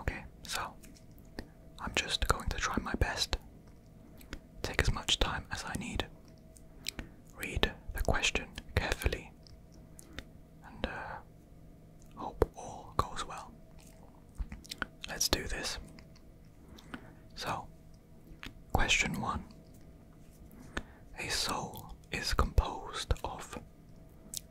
Okay, so I'm just going to try my best. Take as much time as I need. Read the question carefully and uh, hope all goes well. Let's do this. So, question one A soul is composed of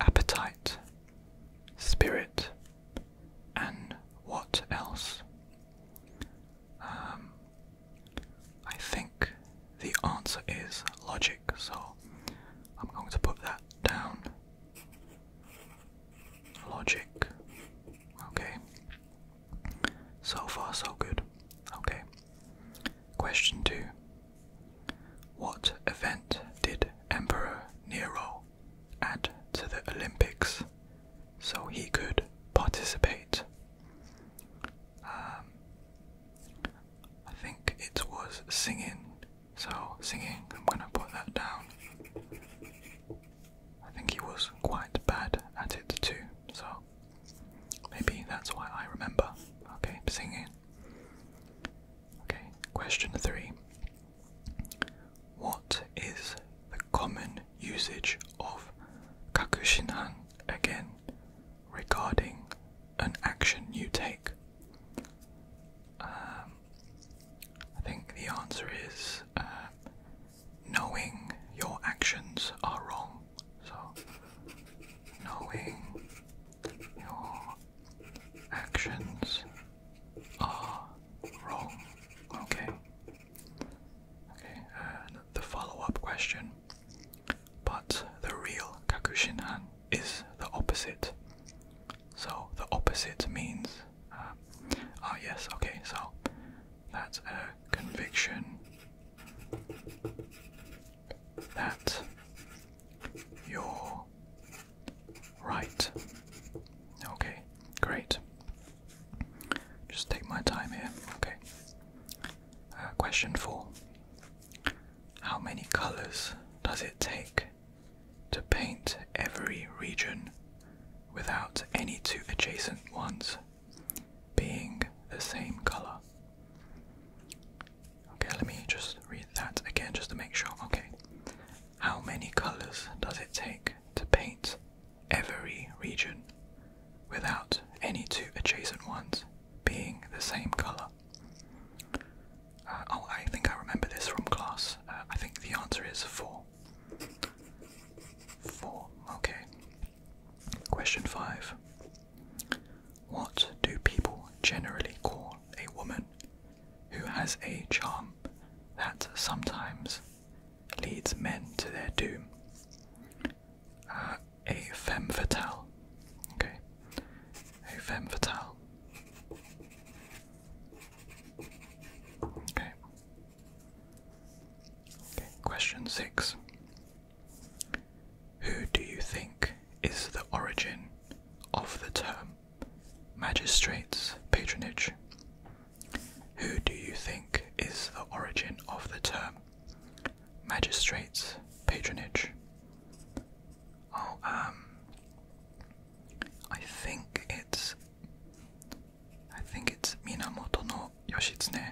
appetite, spirit, and what else? Um, I think the answer is logic, so I'm going to put that down. Logic. Okay. So far, so good. Okay. Question 2 What event did Emperor Nero add to the Olympics so he could participate? Um, I think it was singing, so singing, I'm gonna put that down. I think he was quite bad at it too, so Maybe that's why I remember. Okay, singing. Okay, question three. What is the common usage of kakushinhan again regarding an action you take? Um, I think the answer is uh, knowing your actions are wrong so, knowing your actions are wrong. Okay. Okay. Uh, the follow-up question. But the real Kakushinhan is the opposite. So the opposite means. Uh, ah yes. Okay. So that's a conviction. That you're right. Okay, great. Just take my time here. Okay. Uh, question four How many colors does it take to paint every region without any two adjacent ones? being the same color. Okay, let me just read that again just to make sure. Okay, how many colors does it take to paint every region without any two adjacent ones being the same color? Uh, oh, I think I remember this from class. Uh, I think the answer is 4 full. Okay. Question five. What do people generally call a woman who has a charm that sometimes leads men to their doom? Uh, a femme fatale. Okay. A femme fatale. Okay question six. Who do you think is the origin of the term magistrate's patronage? Who do you think is the origin of the term magistrate's patronage? Oh, um, I think it's I think it's Minamoto no Yoshitsune.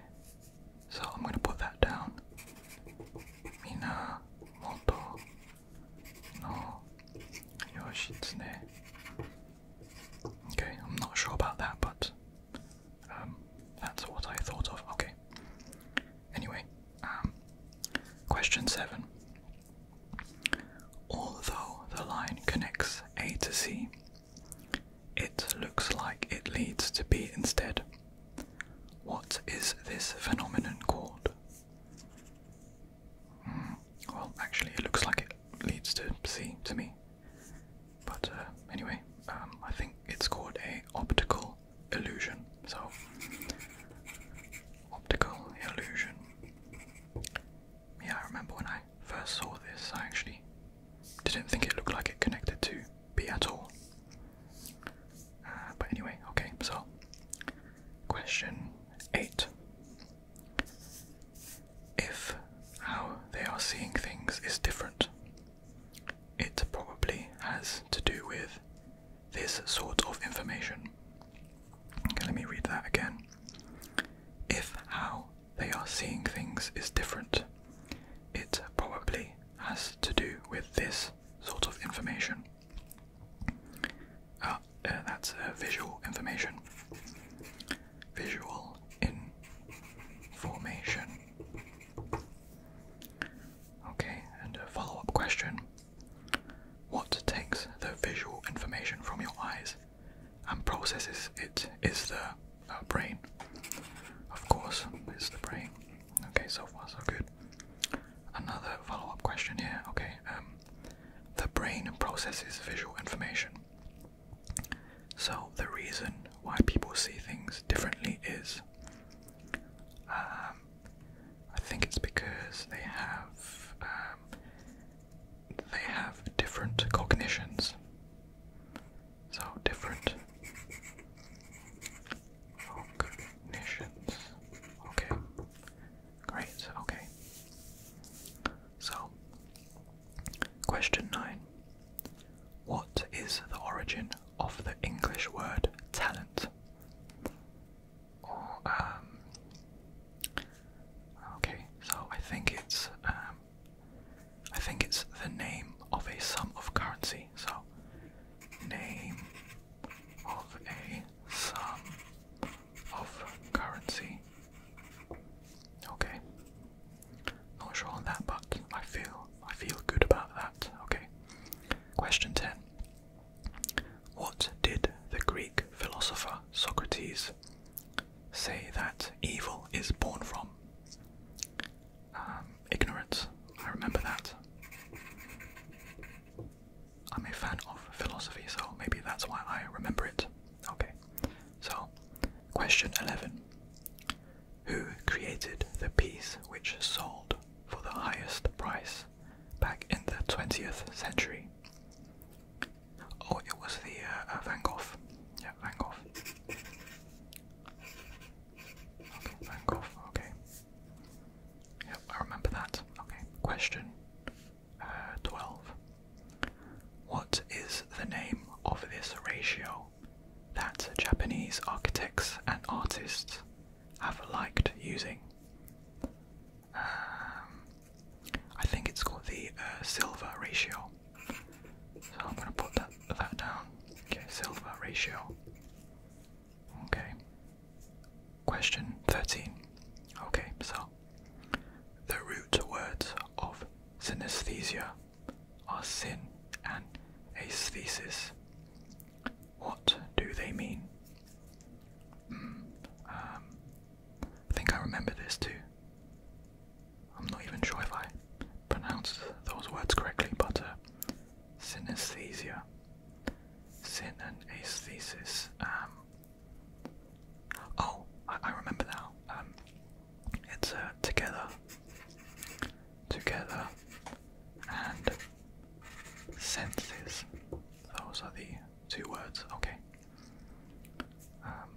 So I'm gonna put that down. Minamoto no Yoshitsune. Okay, I'm not sure about that, but um, that's what I thought of. Okay. Anyway, um, question seven. Although the line connects A to C, it looks like it leads to B instead. What is this phenomenon called? Hmm, well, actually, it looks like it leads to C to me. But uh, anyway, um, I think it's called a optical illusion. So, optical illusion yeah, I remember when I first saw this, I actually didn't think it looked like it connected to B at all. Uh, but anyway, okay, so question 8. If how they are seeing things is different, it probably has to do with this sort of information let me read that again. If how they are seeing things is different, it probably has to do with this sort of information. Ah, uh, that's uh, visual information. Visual information. Okay, and a follow up question what takes the visual information from your eyes and processes it is the uh, brain. Of course, it's the brain. Okay, so far so good. Another follow up question here. Okay, um, the brain processes visual information. So, the reason why people see things differently is um, I think it's because they have um, they have different cognitions. So different cognitions. Okay. Great. Okay. So, question 9. What is the origin of the English word talent? Um, okay, so I think it's um, I think it's the name of a sum of currency. So name of a sum of currency. Okay. Not sure on that, but I feel I feel good about that. Okay. Question 10. What did the Greek philosopher Socrates say that evil is born from? Um, ignorance. I remember that. I'm a fan of philosophy, so maybe that's why I remember it. Okay, so question 11 Who created the piece which sold for the highest price back in the 20th century. Oh, it was the uh, uh, Van Gogh. Yeah, Van Gogh. Okay, Van Gogh, okay. Yeah, I remember that. Okay, question uh, 12. What is the name of this ratio that Japanese architects and artists have liked using. Um, I think it's called the uh, silver ratio. So I'm going to put that, that down. Okay, silver ratio. Okay. Question 13. Okay, so the root words of synesthesia are sin and aesthesis. What do they mean? Hmm, um, I think I remember this too. I'm not even sure if I pronounced those words correctly, but uh, synesthesia, sin and aesthesis. Um, oh, I, remember now. Um, it's uh, together together and senses. Those are the two words. Okay. Um,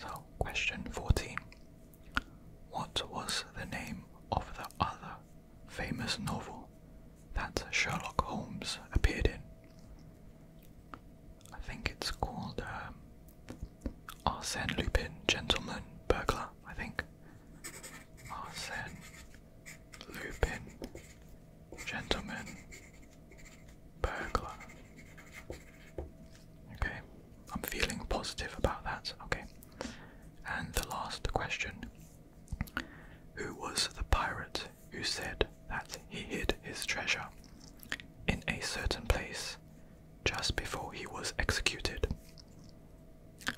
so, question 14. What was the name of the other famous novel that Sherlock Holmes appeared in? I think it's called um, Arsène Lupin, gentleman, burglar, I think. Arsène Lupin, gentleman, burglar. Okay, I'm feeling positive about that. Okay. And the last question Who was the pirate who said that he hid his treasure in a certain place just before he was executed.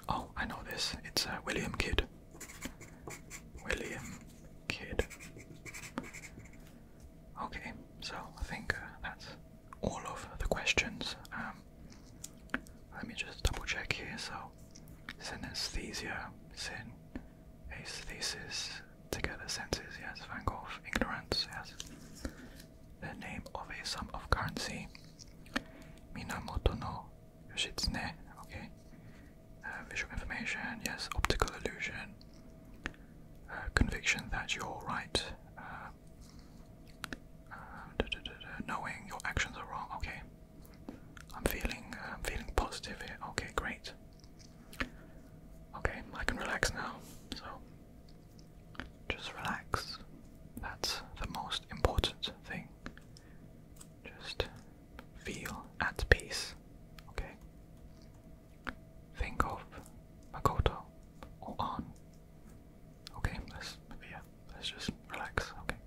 Oh, I know this. It's uh, William Kidd. William Kidd. Okay, so I think uh, that's all of the questions. Um, let me just double check here. So, synesthesia, syn, aesthesis, to get Together senses, yes. Van Gogh, ignorance, yes. The name of a sum of currency. Minamoto no Yoshitsune, okay. Uh, visual information, yes. Optical illusion. Uh, conviction that you're right. Uh, knowing your actions are wrong. Okay. I'm feeling. I'm feeling positive here. Okay, great. Okay, I can relax now. So, just relax. That's the most important thing. Just feel at peace. Okay? Think of Makoto or on. Okay, let's yeah, let's just relax, okay.